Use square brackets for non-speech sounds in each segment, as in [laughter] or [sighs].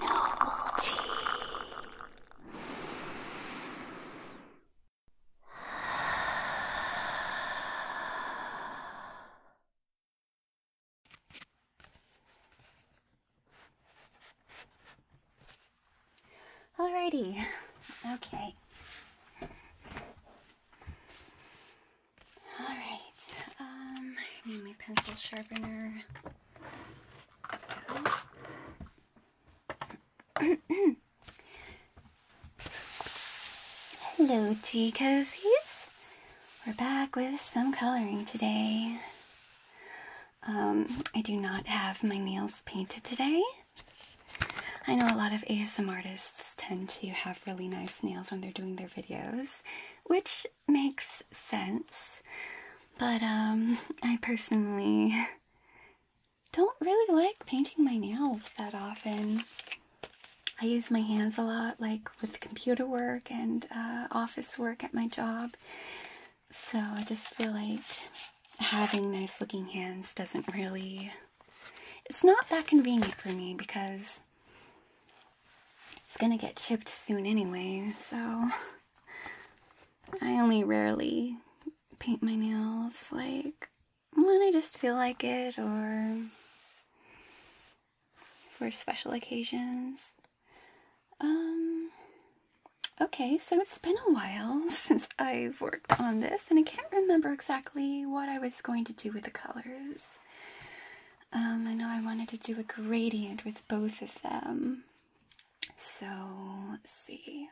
Noble tea. Alrighty, [laughs] okay. All right. Um, need my pencil sharpener. Hello, tea cozies. We're back with some coloring today. Um, I do not have my nails painted today. I know a lot of ASM artists tend to have really nice nails when they're doing their videos, which makes sense. But um I personally [laughs] don't really like painting my nails that often. I use my hands a lot like with computer work and uh, office work at my job. So I just feel like having nice looking hands doesn't really it's not that convenient for me because it's gonna get chipped soon anyway, so I only rarely paint my nails like when I just feel like it or for special occasions. Um, okay, so it's been a while [laughs] since I've worked on this, and I can't remember exactly what I was going to do with the colors. Um, I know I wanted to do a gradient with both of them. So, let's see.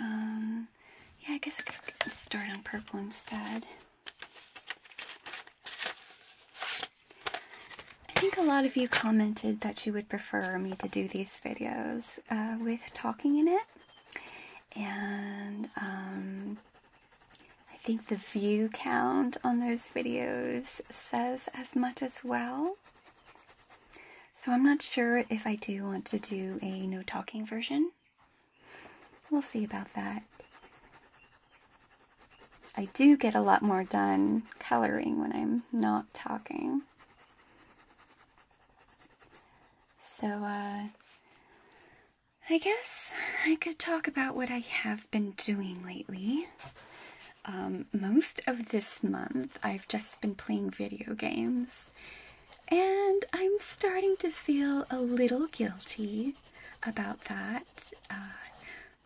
Um, yeah, I guess I could start on purple instead. I think a lot of you commented that you would prefer me to do these videos uh, with talking in it. And um, I think the view count on those videos says as much as well. So I'm not sure if I do want to do a no talking version. We'll see about that. I do get a lot more done coloring when I'm not talking. So, uh, I guess I could talk about what I have been doing lately. Um, most of this month, I've just been playing video games, and I'm starting to feel a little guilty about that. Uh,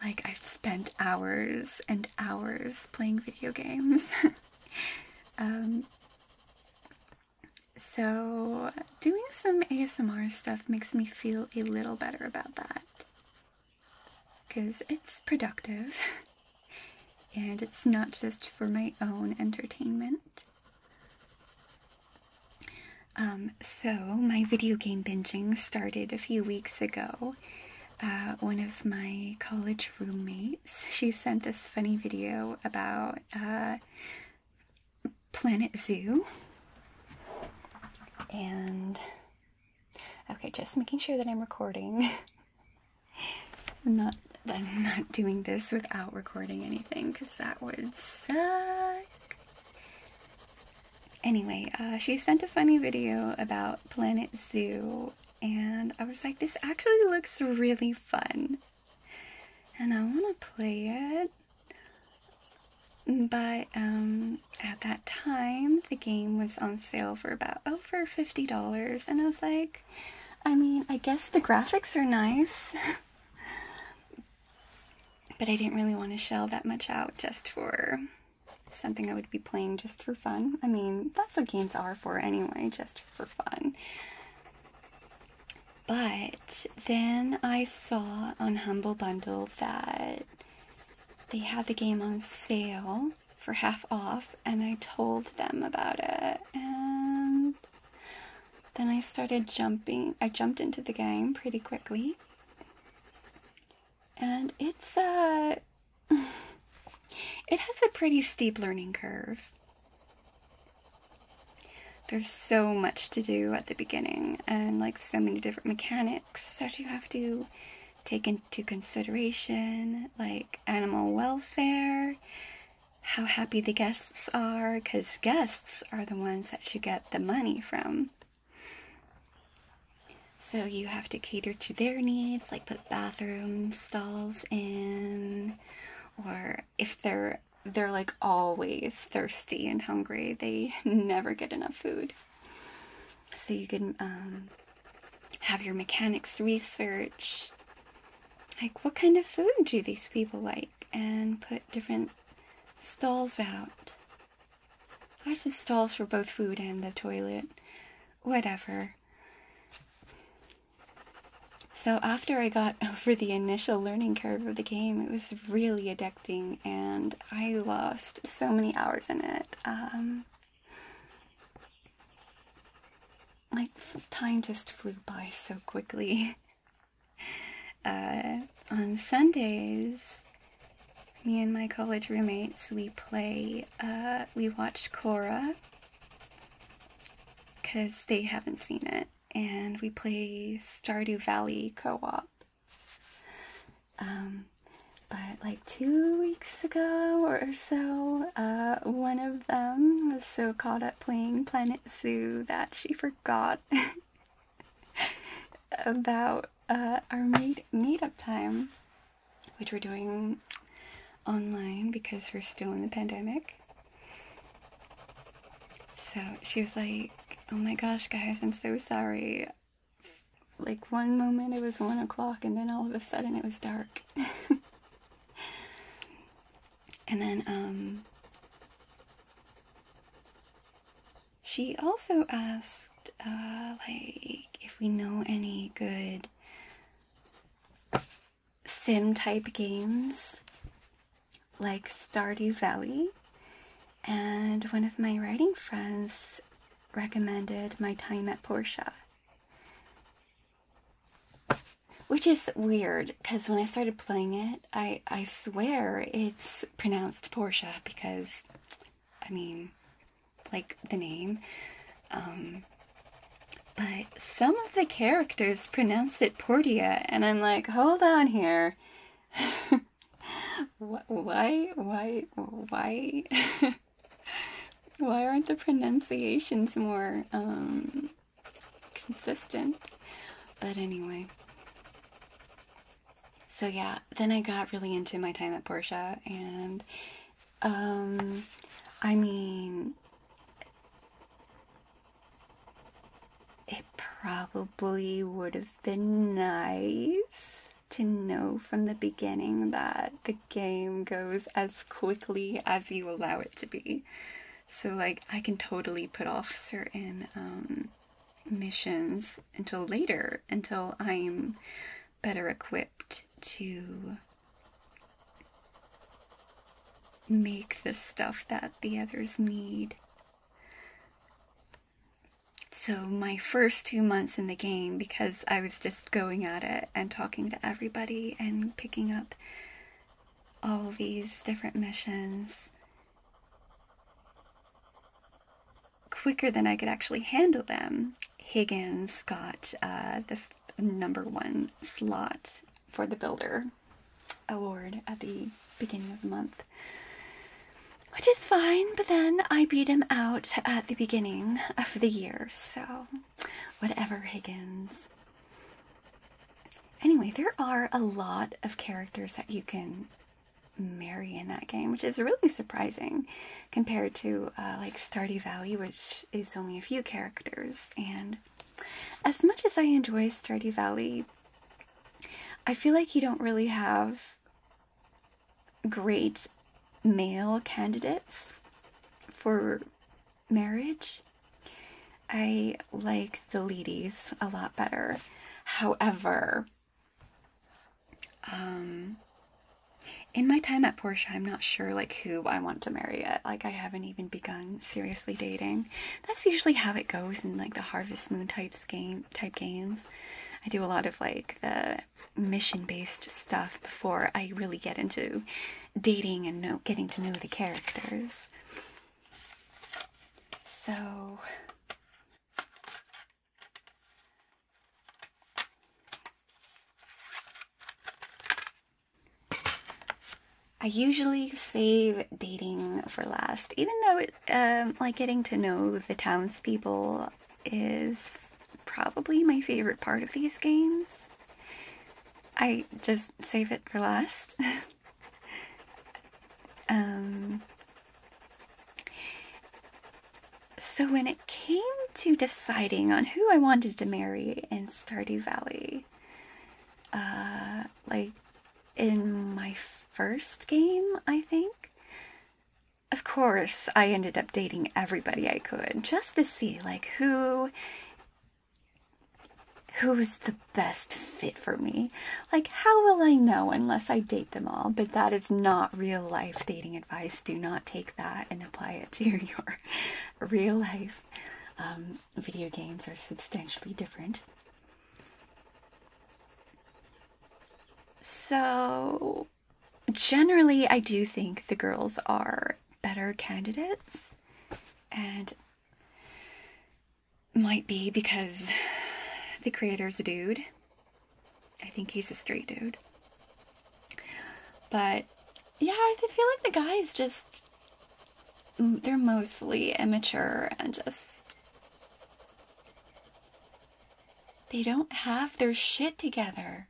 like, I've spent hours and hours playing video games. [laughs] Um, so, doing some ASMR stuff makes me feel a little better about that. Because it's productive [laughs] and it's not just for my own entertainment. Um, so, my video game binging started a few weeks ago. Uh, one of my college roommates, she sent this funny video about uh, Planet Zoo. And okay, just making sure that I'm recording. [laughs] I'm not I'm not doing this without recording anything because that would suck. Anyway, uh, she sent a funny video about Planet Zoo, and I was like, this actually looks really fun. And I want to play it. But um, at that time, the game was on sale for about over $50, and I was like, I mean, I guess the graphics are nice. [laughs] but I didn't really want to shell that much out just for something I would be playing just for fun. I mean, that's what games are for anyway, just for fun. But then I saw on Humble Bundle that they had the game on sale for half off, and I told them about it. And then I started jumping, I jumped into the game pretty quickly. And it's uh, a. [laughs] it has a pretty steep learning curve there's so much to do at the beginning and like so many different mechanics that you have to take into consideration, like animal welfare, how happy the guests are, because guests are the ones that you get the money from. So you have to cater to their needs, like put bathroom stalls in, or if they're they're like always thirsty and hungry. They [laughs] never get enough food. So you can um, have your mechanics research like what kind of food do these people like and put different stalls out. I just stalls for both food and the toilet. Whatever. So after I got [laughs] over the initial learning curve of the game, it was really addic and I lost so many hours in it. Um, like, time just flew by so quickly. [laughs] Uh, on Sundays, me and my college roommates, we play, uh, we watch Cora because they haven't seen it, and we play Stardew Valley co op. Um, but like two weeks ago or so, uh, one of them was so caught up playing Planet Zoo that she forgot [laughs] about uh, our meet meetup time, which we're doing online because we're still in the pandemic. So she was like, "Oh my gosh, guys, I'm so sorry like one moment it was one o'clock and then all of a sudden it was dark [laughs] and then um she also asked uh like if we know any good sim type games like stardew valley and one of my writing friends recommended my time at Portia. Which is weird because when I started playing it, I, I swear it's pronounced Portia because, I mean, like the name. Um, but some of the characters pronounce it Portia, and I'm like, hold on here. [laughs] why, why, why, [laughs] why aren't the pronunciations more um, consistent? But anyway. So yeah, then I got really into my time at Portia, and um, I mean, it probably would have have been nice to know from the beginning that the game goes as quickly as you allow it to be. So, like, I can totally put off certain um, missions until later, until I'm better equipped to make the stuff that the others need. So, my first two months in the game, because I was just going at it and talking to everybody and picking up all these different missions quicker than I could actually handle them, Higgins got uh, the number one slot for the Builder Award at the beginning of the month. Which is fine, but then I beat him out at the beginning of the year, so whatever, Higgins. Anyway, there are a lot of characters that you can marry in that game, which is really surprising compared to uh, like Stardy Valley, which is only a few characters. And as much as I enjoy Stardy Valley, I feel like you don't really have great male candidates for marriage. I like the ladies a lot better. However, um, in my time at Porsche, I'm not sure like who I want to marry yet. Like I haven't even begun seriously dating. That's usually how it goes in like the Harvest Moon types game type games. I do a lot of like the mission based stuff before I really get into dating and know, getting to know the characters. So. I usually save dating for last, even though um, like getting to know the townspeople is probably my favorite part of these games. I just save it for last. [laughs] um, so, when it came to deciding on who I wanted to marry in Stardew Valley, uh, like in my first game, I think, of course, I ended up dating everybody I could just to see like who who's the best fit for me. Like how will I know unless I date them all? But that is not real life dating advice. Do not take that and apply it to [laughs] your real life. Um, video games are substantially different. So, generally, I do think the girls are better candidates, and might be because the creator's a dude. I think he's a straight dude. But yeah, I feel like the guys just they're mostly immature and just they don't have their shit together.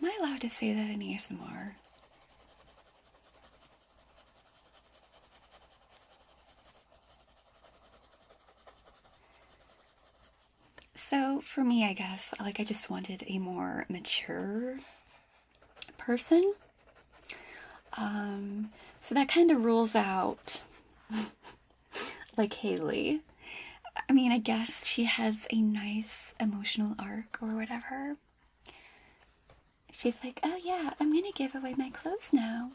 Am I allowed to say that in ASMR? So, for me, I guess, like, I just wanted a more mature person um, so that kind of rules out [laughs] like Haley. I mean, I guess she has a nice emotional arc or whatever. She's like, oh yeah, I'm gonna give away my clothes now.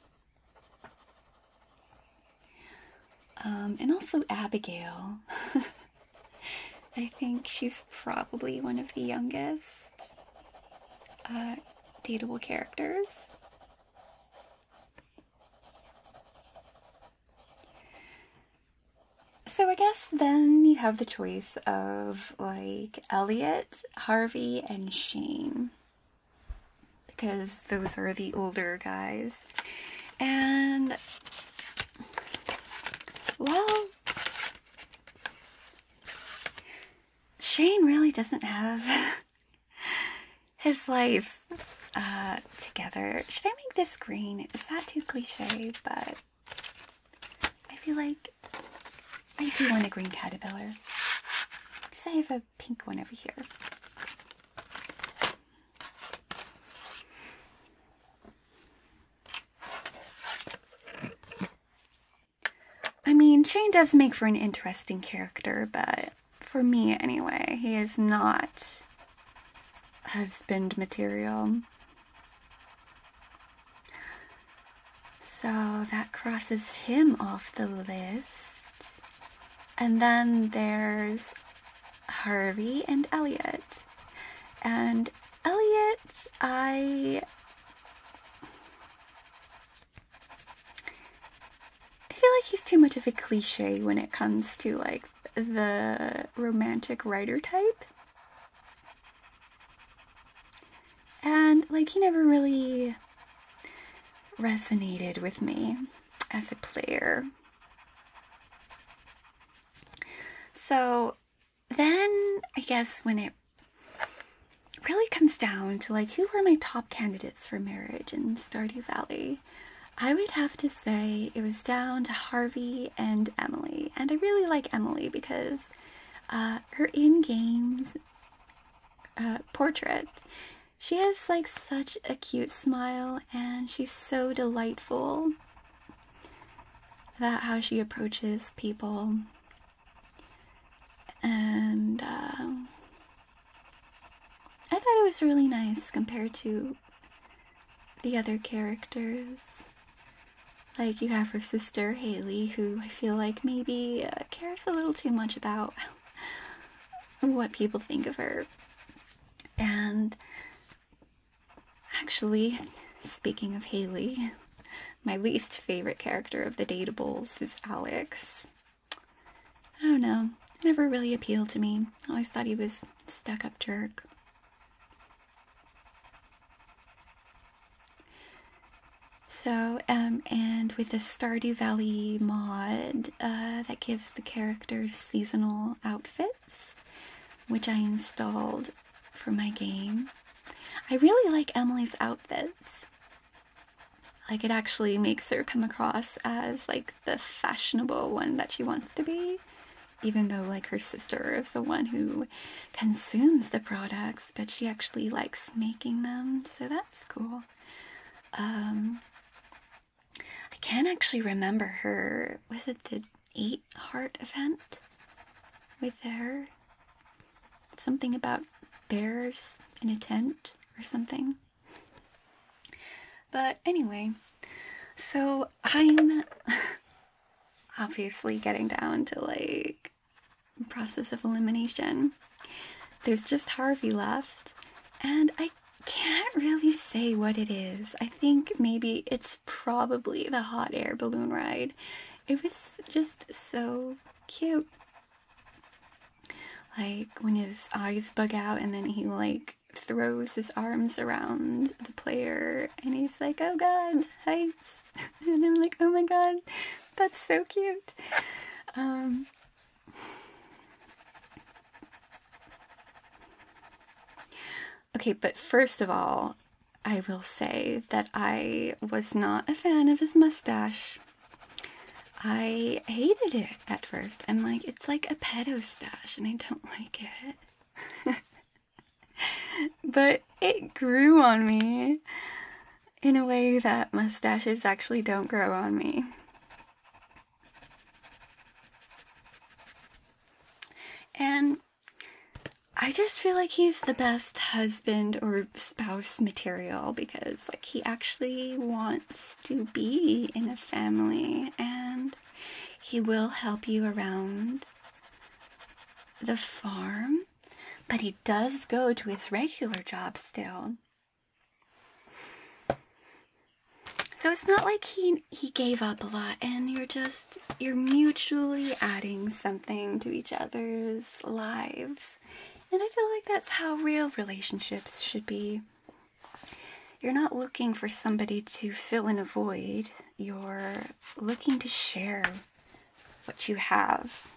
Um, and also Abigail. [laughs] I think she's probably one of the youngest uh, dateable characters. So I guess then you have the choice of like Elliot, Harvey, and Shane. Because those are the older guys. And well, Shane really doesn't have [laughs] [laughs] his life uh, together. Should I make this green? Is that too cliche? But I feel like I do want a green caterpillar. Because I have a pink one over here. I mean, Shane does make for an interesting character, but for me anyway, he is not husband material. So that crosses him off the list. And then there's Harvey and Elliot. And Elliot, I I feel like he's too much of a cliche when it comes to like the romantic writer type. And like he never really resonated with me as a player. So then I guess when it really comes down to like who were my top candidates for marriage in Stardew Valley. I would have to say it was down to Harvey and Emily, and I really like Emily because uh, her in game uh, portrait. She has like such a cute smile, and she's so delightful about how she approaches people. And uh, I thought it was really nice compared to the other characters. Like, you have her sister, Haley, who I feel like maybe uh, cares a little too much about [laughs] what people think of her. And actually, speaking of Haley, [laughs] my least favorite character of the Datables is Alex. I don't know. never really appealed to me. always thought he was stuck up jerk. So, um, and with the Stardew Valley mod, uh, that gives the characters seasonal outfits, which I installed for my game. I really like Emily's outfits like it actually makes her come across as like the fashionable one that she wants to be even though like her sister is the one who consumes the products but she actually likes making them so that's cool um i can't actually remember her was it the eight heart event with her something about bears in a tent or something but anyway, so I'm [laughs] obviously getting down to like process of elimination. There's just Harvey left, and I can't really say what it is. I think maybe it's probably the hot air balloon ride. It was just so cute like when his eyes bug out and then he like throws his arms around the player and he's like, oh god, heights. [laughs] and I'm like, oh my god, that's so cute. Um, okay, but first of all, I will say that I was not a fan of his mustache. I hated it at 1st and like, it's like a pedo stash, and I don't [laughs] like it. but it grew on me in a way that mustaches actually don't grow on me. And I just feel like he's the best husband or spouse material because like he actually wants to be in a family, and he will help you around the farm, but he does go to his regular job still. So it's not like he he gave up a lot and you're just you're mutually adding something to each other's lives. And I feel like that's how real relationships should be. You're not looking for somebody to fill in a void, you're looking to share what you have.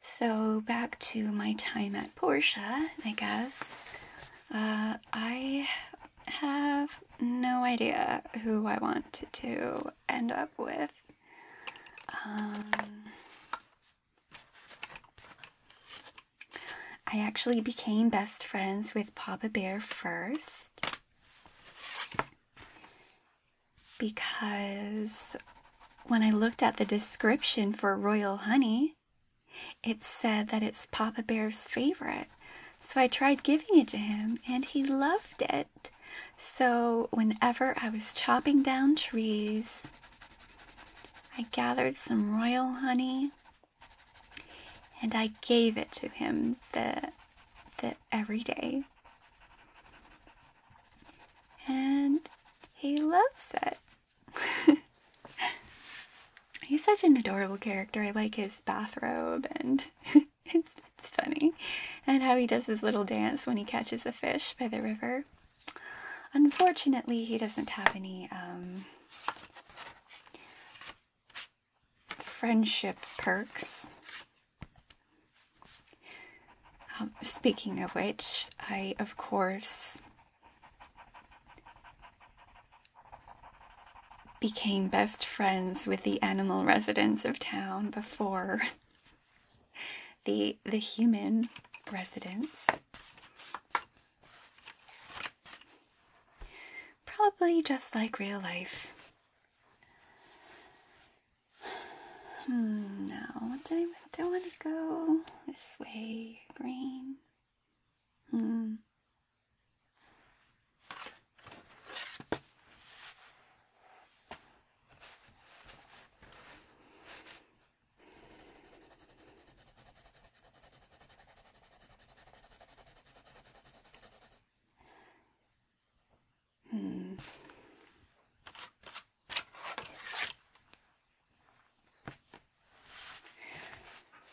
So, back to my time at Porsche, I guess. Uh, I have no idea who I want to end up with. Um, I actually became best friends with Papa Bear first because when I looked at the description for royal honey, it said that it's Papa Bear's favorite. So I tried giving it to him and he loved it. So whenever I was chopping down trees, I gathered some royal honey and I gave it to him the, the every day. And he loves it. [laughs] He's such an adorable character. I like his bathrobe and [laughs] it's, it's funny. And how he does his little dance when he catches a fish by the river. Unfortunately, he doesn't have any um, friendship perks. Um, speaking of which, I, of course, became best friends with the animal residents of town before the the human residents. Probably just like real life. Hmm, no, I don't want to go this way green. Hmm. Hmm.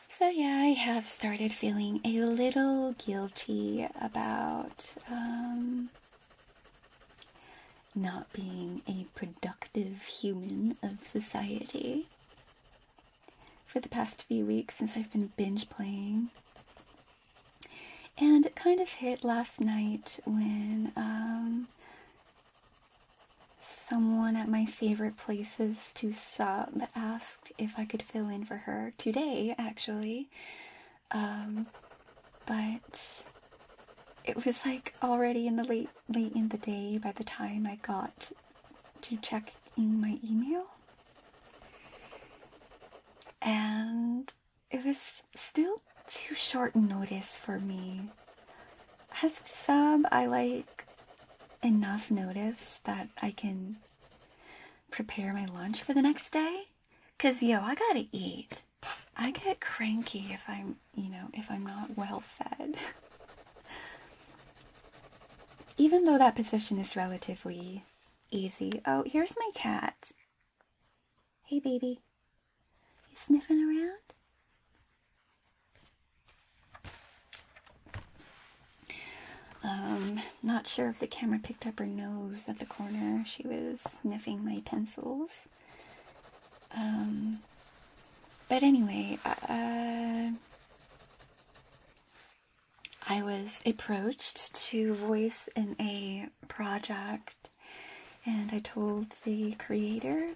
So, yeah, I have started feeling a little guilty about um, not being a productive human of society for the past few weeks since I've been binge playing. And it kind of hit last night when um, Someone at my favorite places to sub asked if I could fill in for her today, actually. Um, but it was like already in the late late in the day by the time I got to check in my email. And it was still too short notice for me as sub, I like enough notice that I can prepare my lunch for the next day. Cause yo, I gotta eat. I get cranky if I'm, you know, if I'm not well fed. [laughs] Even though that position is relatively easy. Oh, here's my cat. Hey, baby. You sniffing around? Um, not sure if the camera picked up her nose at the corner. She was sniffing my pencils. Um, but anyway, uh, uh, I was approached to voice in a project, and I told the creator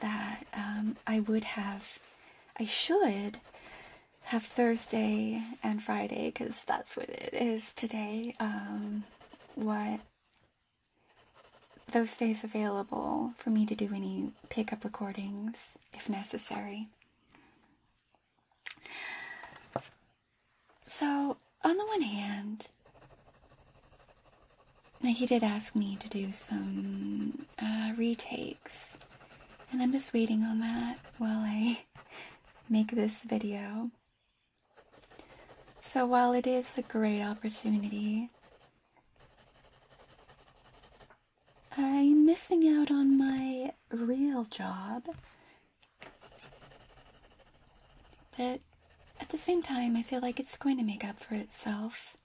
that um, I would have, I should have Thursday and Friday because that's what it is today. Um, what those days available for me to do any pickup recordings if necessary. So, on the one hand, now, he did ask me to do some uh, retakes, and I'm just waiting on that while I [laughs] make this video. So, while it is a great opportunity, I'm missing out on my real job. But at the same time, I feel like it's going to make up for itself.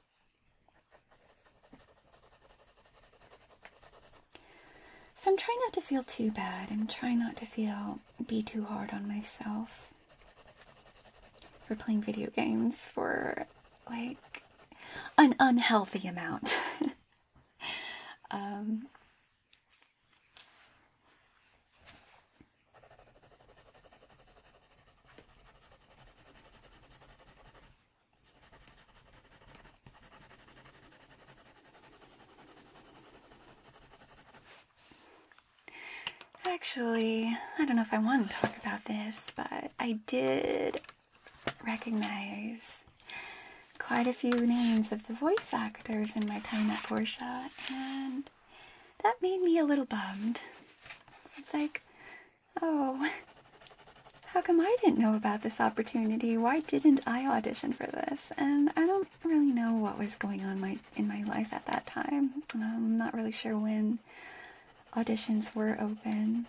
So I'm trying not to feel too bad. I'm trying not to feel, be too hard on myself for playing video games for like an unhealthy amount. [laughs] Um, Actually, I don't know if I want to talk about this, but I did recognize quite a few names of the voice actors in my time at Portia, and that made me a little bummed. It's like, Oh, how come I didn't know about this opportunity? Why didn't I audition for this? And I don't really know what was going on my in my life at that time. I'm um, not really sure when auditions were open.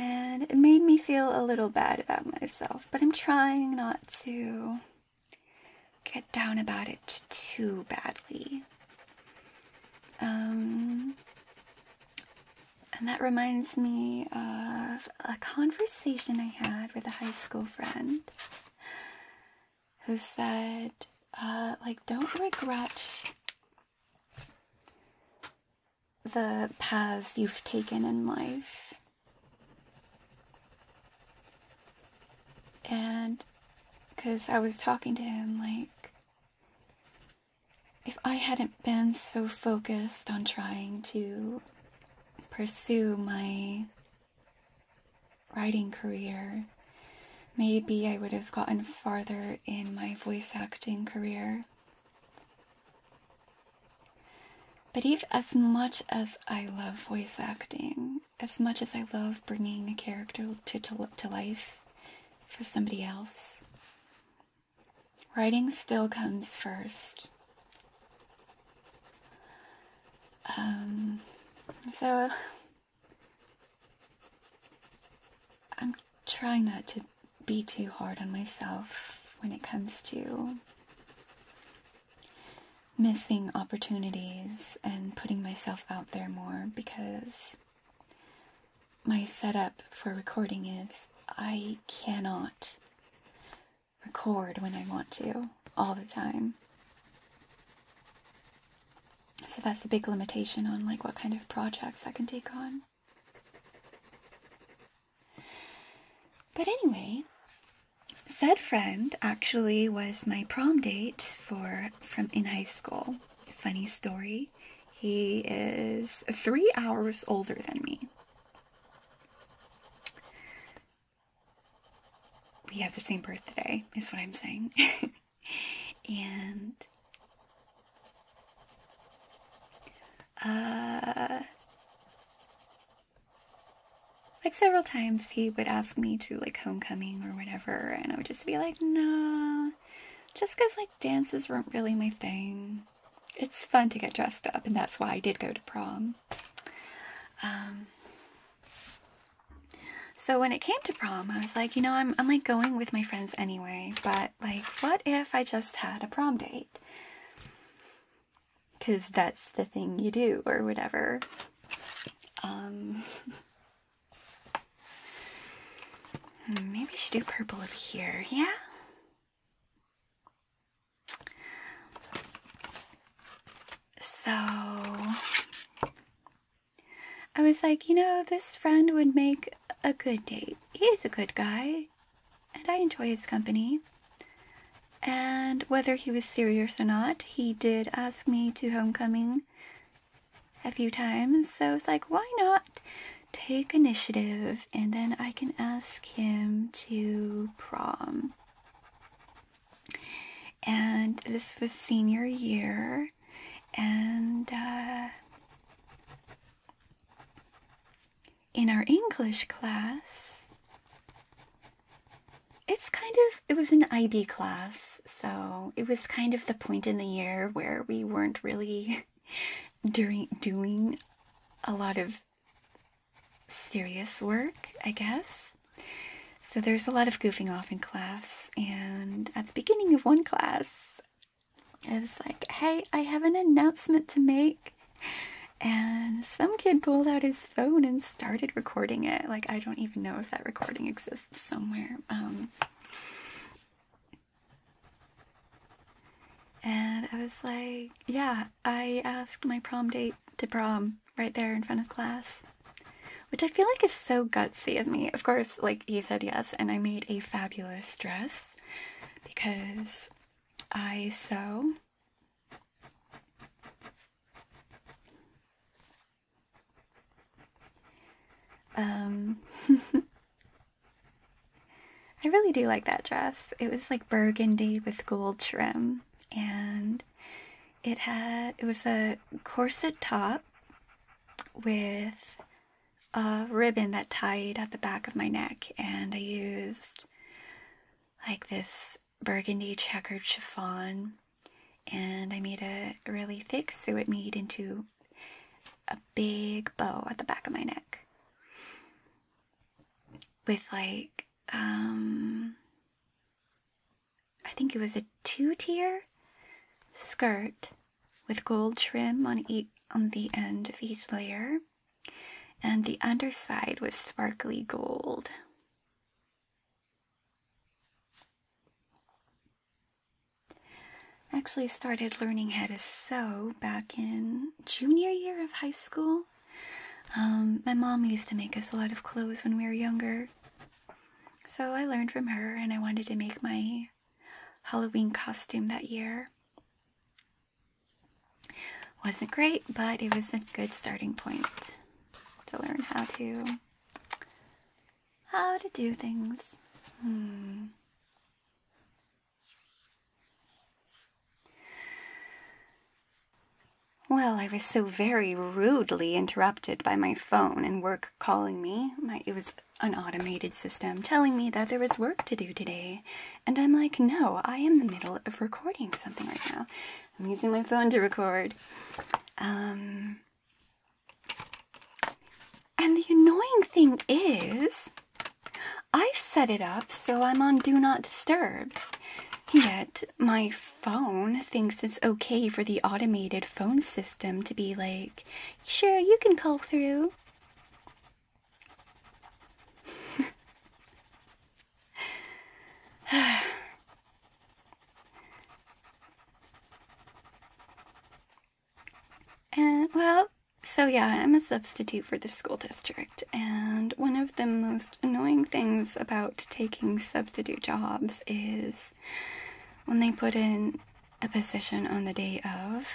And it made me feel a little bad about myself, but I'm trying not to get down about it too badly. Um, and that reminds me of a conversation I had with a high school friend who said, uh, like, don't regret the paths you've taken in life. And because I was talking to him like. If I hadn't been so focused on trying to pursue my writing career, maybe I would have gotten farther in my voice acting career. But even as much as I love voice acting, as much as I love bringing a character to, to, life for somebody else, writing still comes first. Um, so I'm trying not to be too hard on myself when it comes to missing opportunities and putting myself out there more because my setup for recording is I cannot record when I want to all the time. So that's a big limitation on like what kind of projects I can take on. But anyway, said friend actually was my prom date for from in high school funny story, he is three hours older than me. We have the same birthday, is what I'm saying. [laughs] and uh, like several times he would ask me to like homecoming or whatever and I would be like, nah, just because like dances weren't really my thing. It's fun to get dressed up, and that's why I did go to prom. Um, so when it came to prom, I was like, you know, I'm, I'm like going with my friends anyway, but like, what if I just had a prom date? Because that's the thing you do, or whatever. Um, [laughs] Hmm, maybe I should do purple over here, yeah? So I was like, you know, this friend would make a good date. He's a good guy, and I enjoy his company. And whether he was serious or not, he did ask me to homecoming a few times. So it's like, why not take initiative and then I can ask him to prom? And this was senior year, and uh, in our English class, it's kind of, it was an IB class so it was kind of the point in the year where we weren't really [laughs] doing doing a lot of serious work, I guess. So there's a lot of goofing off in class, and at the beginning of one class, I was like, "Hey, I have an announcement to make." And some kid pulled out his phone and started recording it. Like, I don't even know if that recording exists somewhere. Um, and I was like, yeah, I asked my prom date to prom right there in front of class, which I feel like is so gutsy of me. Of course, like he said yes, and I made a fabulous dress because I sew. Um, [laughs] I really do like that dress. It was like burgundy with gold trim, and it had it was a corset top with a ribbon that tied at the back of my neck, and I used like this burgundy checkered chiffon and I made a really thick so it made into a big bow at the back of my neck with like um, I think it was a two-tier skirt with gold trim on each on the end of each layer and the underside was sparkly gold I actually started learning how to sew back in junior year of high school. Um, my mom used to make us a lot of clothes when we were younger. So I learned from her and I wanted to make my Halloween costume that year. Wasn't great, but it was a good starting point to learn how to how to do things. Hmm. Well, I was so very rudely interrupted by my phone and work calling me. it was an automated system telling me that there was work to do today. And I'm like, no, I am in the middle of recording something right now. I'm using my phone to record. Um, and the annoying thing is, I set it up so I'm on Do Not Disturb. Yet, my phone thinks it's okay for the automated phone system to be like, sure, you can call through. And, well, so yeah, I'm a substitute for the school district, and one of the most annoying things about taking substitute jobs is when they put in a position on the day of.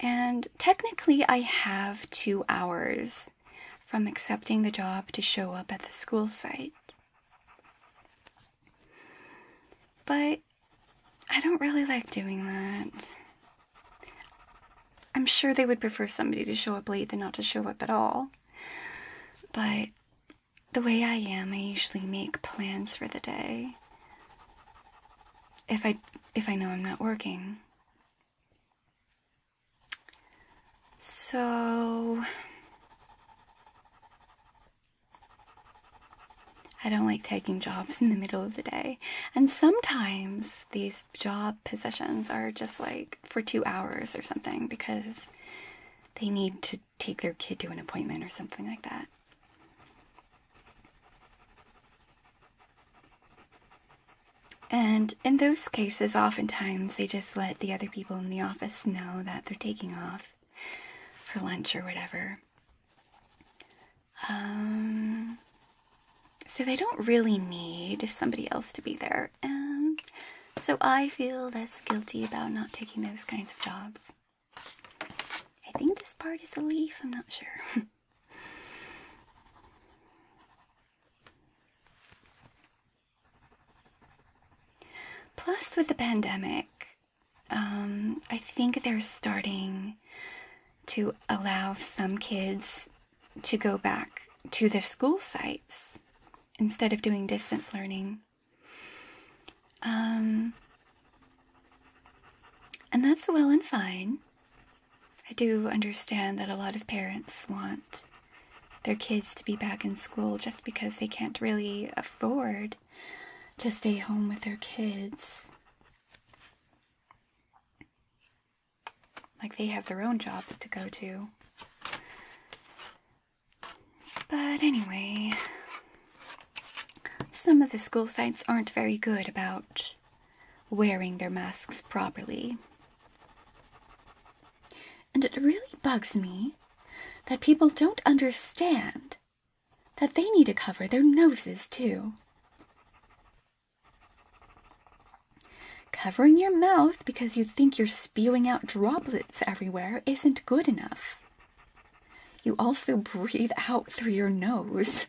And technically, I have two hours from accepting the job to show up at the school site. But I don't really like doing that. I'm sure they would prefer somebody to show up late than not to show up at all. But the way I am, I usually make plans for the day. If I if I know I'm not working. So I don't like taking jobs in the middle of the day. And sometimes these job positions are just like for two hours or something because they need to take their kid to an appointment or something like that. And in those cases, oftentimes they just let the other people in the office know that they're taking off for lunch or whatever. Um, so they don't really need somebody else to be there. Um, so I feel less guilty about not taking those kinds of jobs. I think this part is a leaf, I'm not sure. [laughs] Plus, with the pandemic, um, I think they're starting to allow some kids to go back to their school sites instead of doing distance learning. Um, and that's well and fine. I do understand that a lot of parents want their kids to be back in school just because they can't really afford to stay home with their kids. Like they have their own jobs to go to. But anyway, some of the school sites aren't very good about wearing their masks properly. And it really bugs me that people don't understand that they need to cover their noses too. Covering your mouth because you think you're spewing out droplets everywhere isn't good enough. You also breathe out through your nose.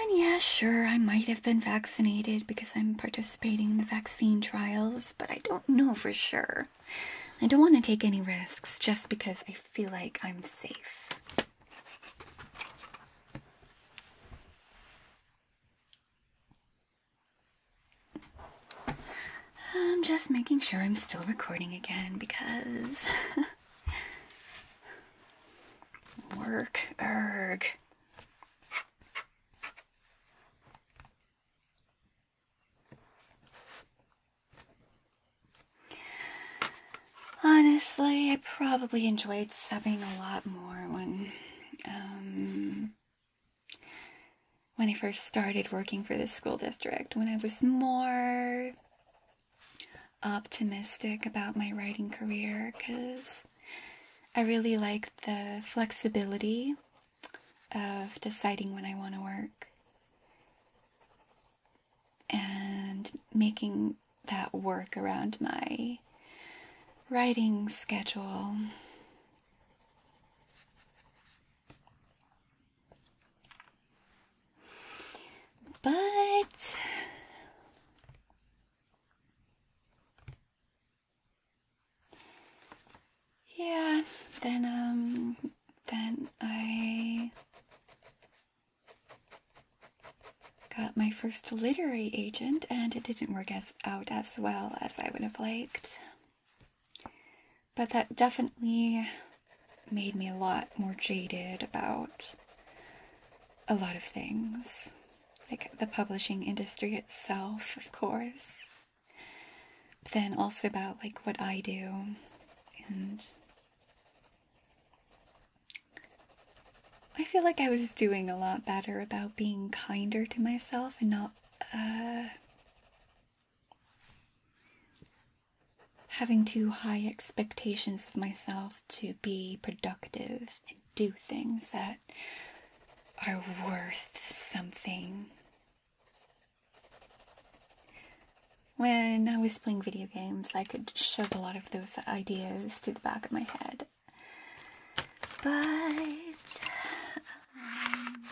And yeah, sure, I might have been vaccinated because I'm participating in the vaccine trials, but I don't know for sure. I don't want to take any risks just because I feel like I'm safe. I'm just making sure I'm still recording again because. [laughs] Work, erg. Honestly, I probably enjoyed subbing a lot more when, um, when I first started working for the school district. When I was more optimistic about my writing career because I really like the flexibility of deciding when I want to work and making that work around my writing schedule. But yeah, then um then I got my first literary agent and it didn't work as out as well as I would have liked. But that definitely made me a lot more jaded about a lot of things. Like the publishing industry itself, of course. But then also about like what I do and I feel like I was doing a lot better about being kinder to myself and not uh, having too high expectations of myself to be productive and do things that are worth something. When I was playing video games, I could shove a lot of those ideas to the back of my head. But. Um,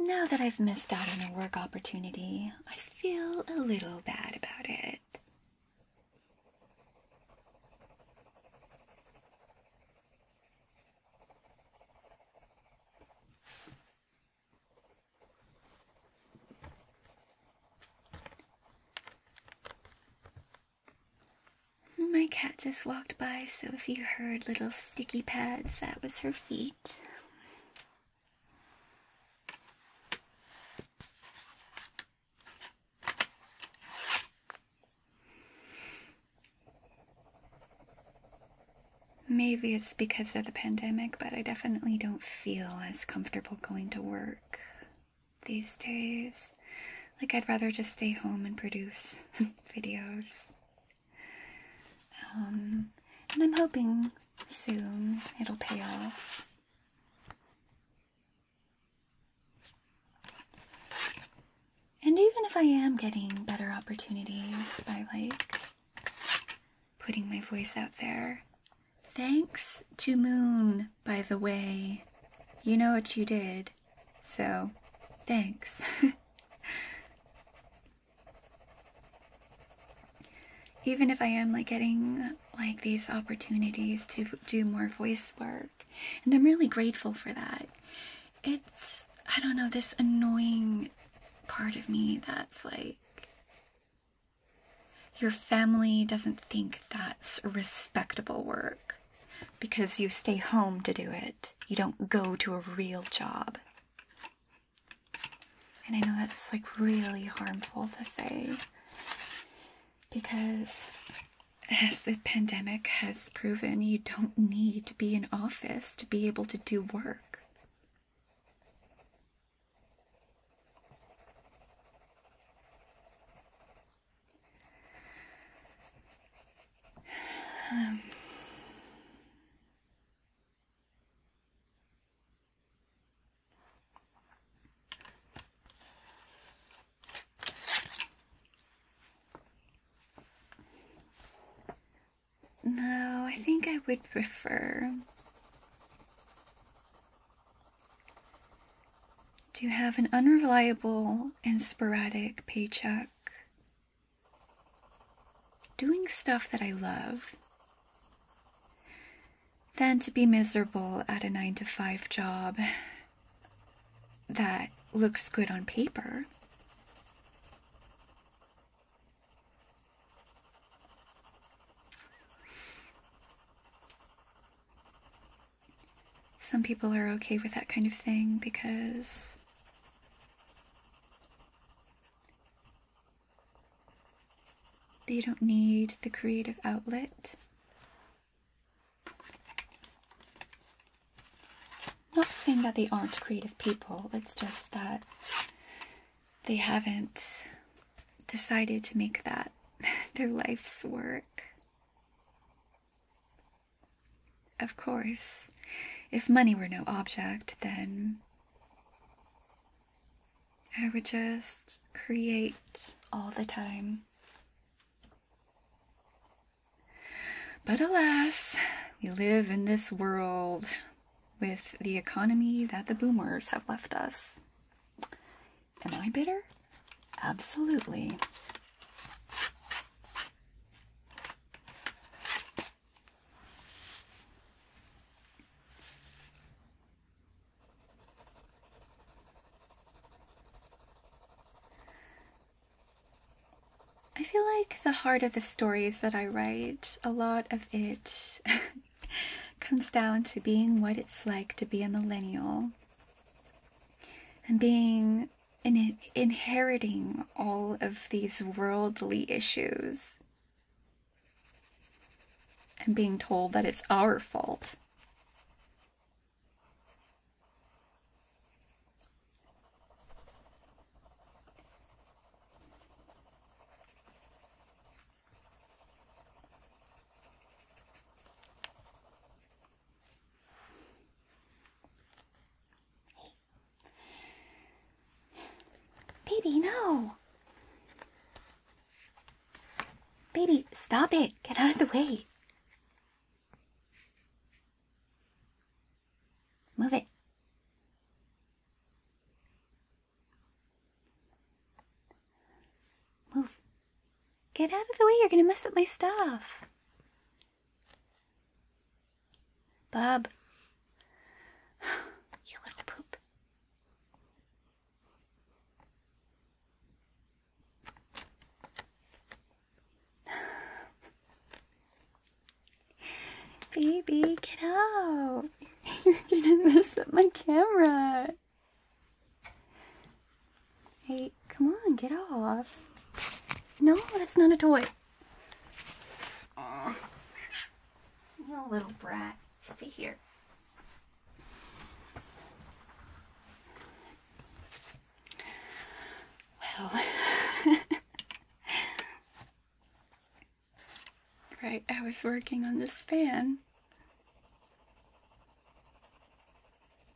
now that I've missed out on a work opportunity, I feel a little bad about it. My cat just walked by, so if you heard little sticky pads, that was her feet. Maybe it's because of the pandemic, but I definitely don't feel as comfortable going to work these days. Like, I'd rather just stay home and produce [laughs] videos. Um, and I'm hoping soon it'll pay off. And even if I am getting better opportunities by like putting my voice out there, thanks to Moon by the way, you know what you did, so thanks. [laughs] Even if I am like getting like these opportunities to do more voice work, and I'm really grateful for that. It's, I don't know, this annoying part of me that's like, your family doesn't think that's respectable work because you stay home to do it. You don't go to a real job. And I know that's like really harmful to say because as the pandemic has proven, you don't need to be in office to be able to do work. Um, no, I think I would prefer to have an unreliable and sporadic paycheck, doing stuff that I love, than to be miserable at a 9 to 5 job that looks good on paper some people are okay with that kind of thing because they don't need the creative outlet. Not saying that they aren't creative people, it's just that they haven't decided to make that [laughs] their life's work. Of course, if money were no object, then I would just create all the time. But alas, we live in this world with the economy that the boomers have left us. Am I bitter? Absolutely. I feel like the heart of the stories that I write, a lot of it [laughs] comes down to being what it's like to be a millennial and being in inheriting all of these worldly issues and being told that it's our fault. Baby, no. Baby, stop it. Get out of the way. Move it. Move. Get out of the way. You're going to mess up my stuff. Bob, [sighs] you little poop. [sighs] Baby, get out. [laughs] You're gonna mess up my camera. Hey, come on, get off. No, that's not a toy. you little brat. Stay here. Well. [laughs] right, I was working on this fan.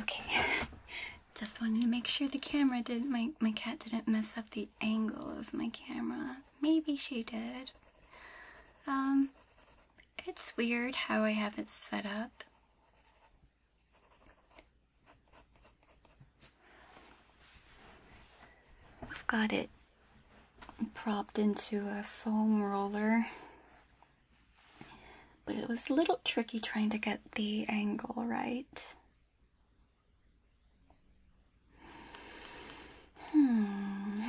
Okay, [laughs] just wanted to make sure the camera didn't, my, my cat didn't mess up the angle of my camera. Maybe she did. Um, it's weird how I have it set up. I've got it propped into a foam roller. But it was a little tricky trying to get the angle right. Hmm.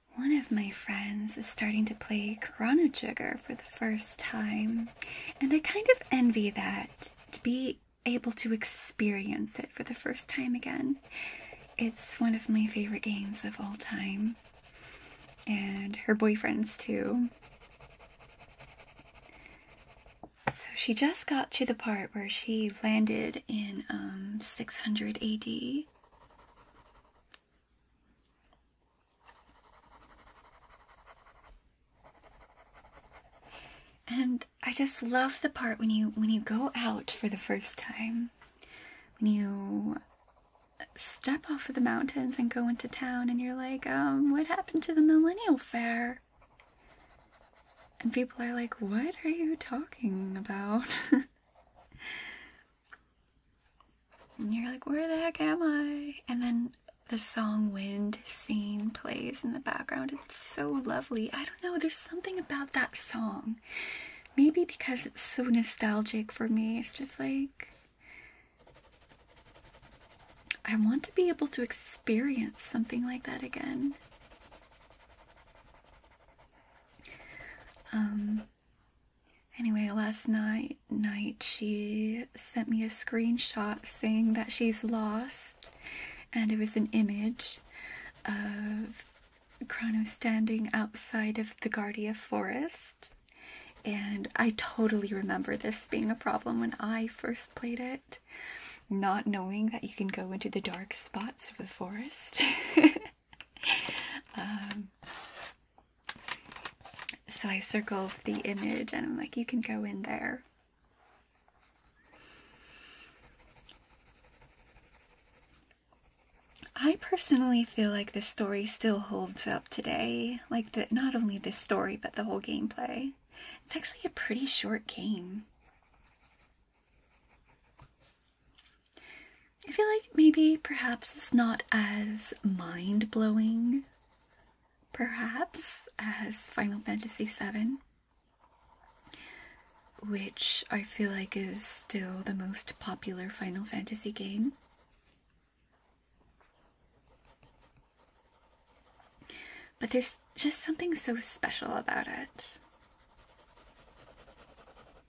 One of my friends is starting to play Chrono Trigger for the first time, and I kind of envy that to be able to experience it for the first time again. It's one of my favorite games of all time, and her boyfriend's too. So she just got to the part where she landed in um, 600 AD and I just love the part when you when you go out for the first time. When you step off of the mountains and go into town and you're like, um, what happened to the millennial fair? And people are like, what are you talking about? [laughs] And you're like, where the heck am I? And then the song Wind Scene plays in the background. It's so lovely. I don't know, there's something about that song. Maybe because it's so nostalgic for me. It's just like, I want to be able to experience something like that again. Um, Anyway, last night night she sent me a screenshot saying that she's lost and it was an image of Chrono standing outside of the Guardia Forest. And I totally remember this being a problem when I first played it, not knowing that you can go into the dark spots of the forest. [laughs] Um, so I circle the image and I'm like, you can go in there. I personally feel like the story still holds up today. Like that, not only the story, but the whole gameplay. It's actually a pretty short game. I feel like maybe perhaps it's not as mind blowing, perhaps, as Final Fantasy VII, which I feel like is still the most popular Final Fantasy game. But there's just something so special about it.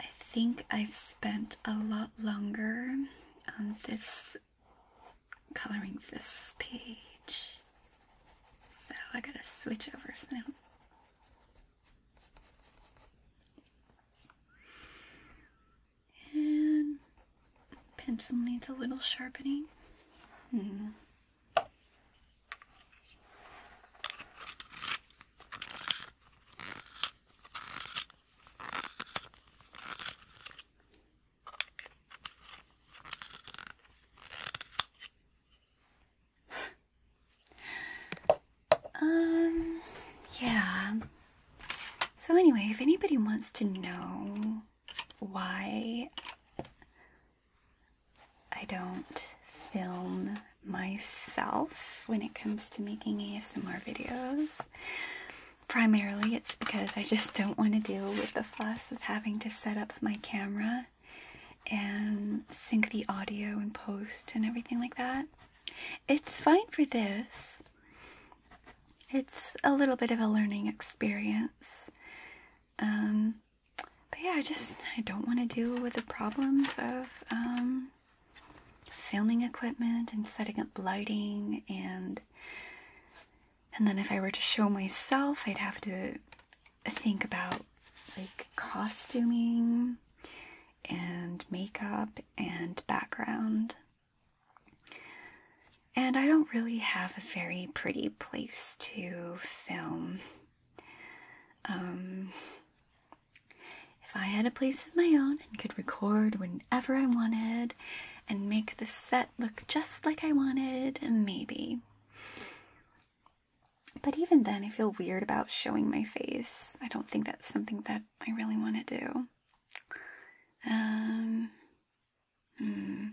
I think I've spent a lot longer on this coloring this page, so I gotta switch over soon. And pencil needs a little sharpening. Hmm. Um, yeah. So, anyway, if anybody wants to know why I don't film myself when it comes to making ASMR videos, primarily it's because I just don't want to deal with the fuss of having to set up my camera and sync the audio and post and everything like that. It's fine for this, it's a little bit of a learning experience. Um, but yeah, I just I don't want to deal with the problems of um, filming equipment and setting up lighting and and then if I were to show myself, I'd have to think about like costuming and makeup and background. And I don't really have a very pretty place to film. Um, if I had a place of my own and could record whenever I wanted and make the set look just like I wanted, maybe. But even then, I feel weird about showing my face. I don't think that's something that I really want to do. Um, hmm.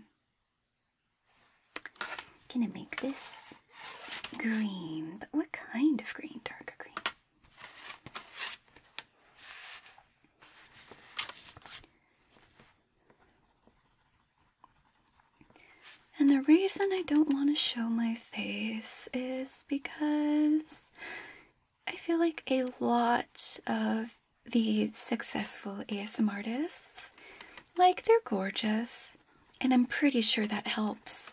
Gonna make this green, but what kind of green? Darker green. And the reason I don't want to show my face is because I feel like a lot of the successful ASM artists, like they're gorgeous, and I'm pretty sure that helps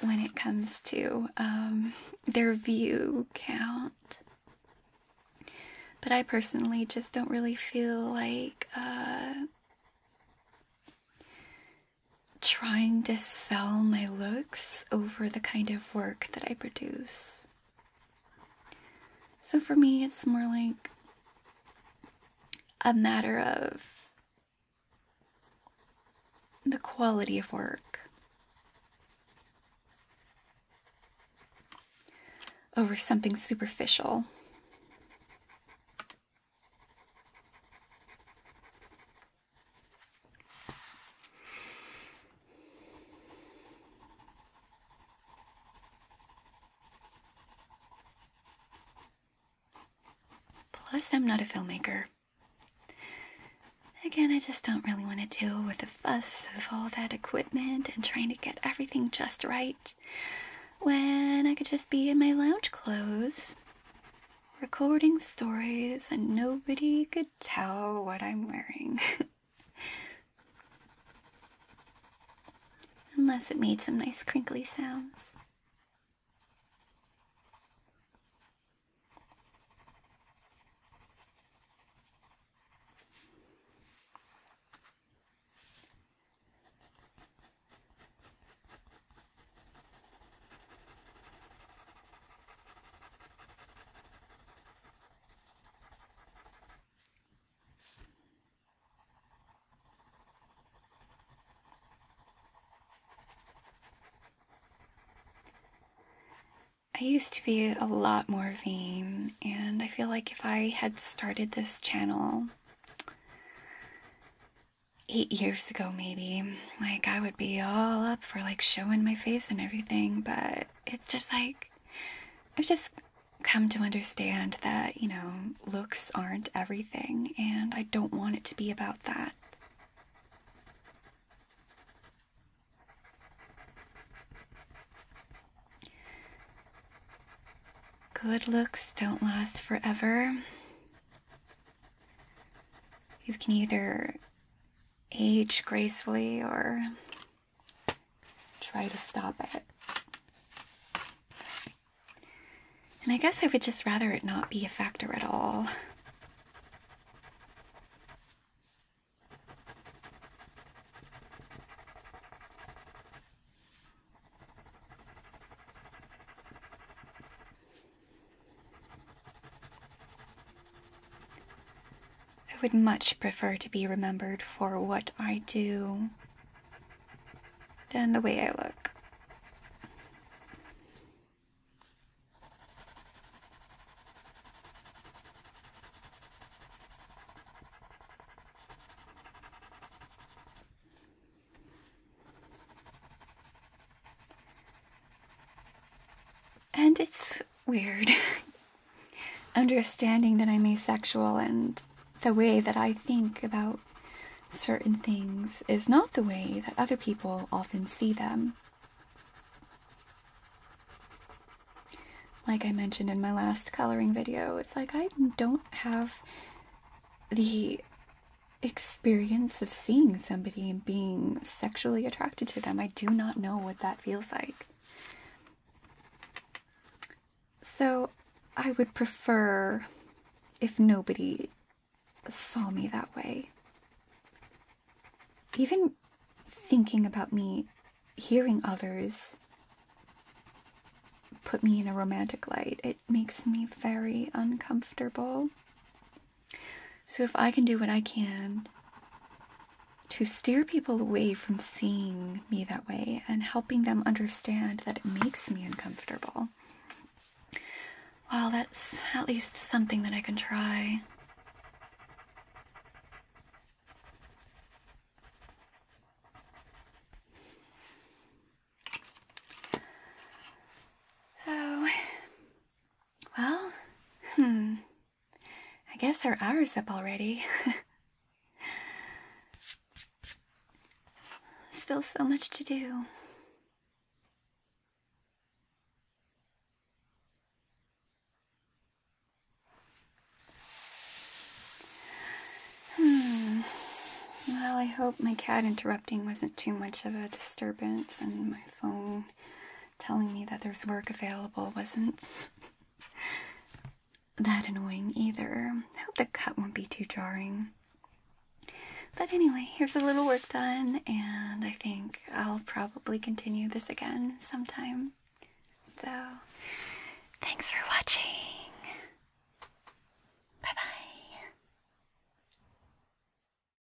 when it comes to um, their view count. But I personally just don't really feel like uh, trying to sell my looks over the kind of work that I produce. So for me, it's more like a matter of the quality of work over something superficial. Plus, I'm not a filmmaker. Again, I just don't really want to deal with the fuss of all that equipment and trying to get everything just right when I could just be in my lounge clothes recording stories and nobody could tell what I'm wearing. [laughs] Unless it made some nice crinkly sounds. I used to be a lot more vain, and I feel like if I had started this channel eight years ago, maybe, like I would be all up for like showing my face and everything, but it's just like I've just come to understand that, you know, looks aren't everything, and I don't want it to be about that. Good looks don't last forever. You can either age gracefully or try to stop it. And I guess I would just rather it not be a factor at all. I would much prefer to be remembered for what I do than the way I look. And it's weird. [laughs] Understanding that I'm asexual and the way that I think about certain things is not the way that other people often see them. Like I mentioned in my last coloring video, it's like I don't have the experience of seeing somebody and being sexually attracted to them. I do not know what that feels like. So I would prefer if nobody saw me that way. Even thinking about me hearing others put me in a romantic light, it makes me very uncomfortable. So if I can do what I can to steer people away from seeing me that way and helping them understand that it makes me uncomfortable. Well, that's at least something that I can try. Oh, well, hmm, I guess our hour's up already. [laughs] Still so much to do. Hmm. Well, I hope my cat interrupting wasn't too much of a disturbance and my phone telling me that there's work available wasn't [laughs] that annoying either. I hope the cut won't be too jarring. But anyway, here's a little work done, and I think I'll probably continue this again sometime. So, thanks for watching. Bye bye.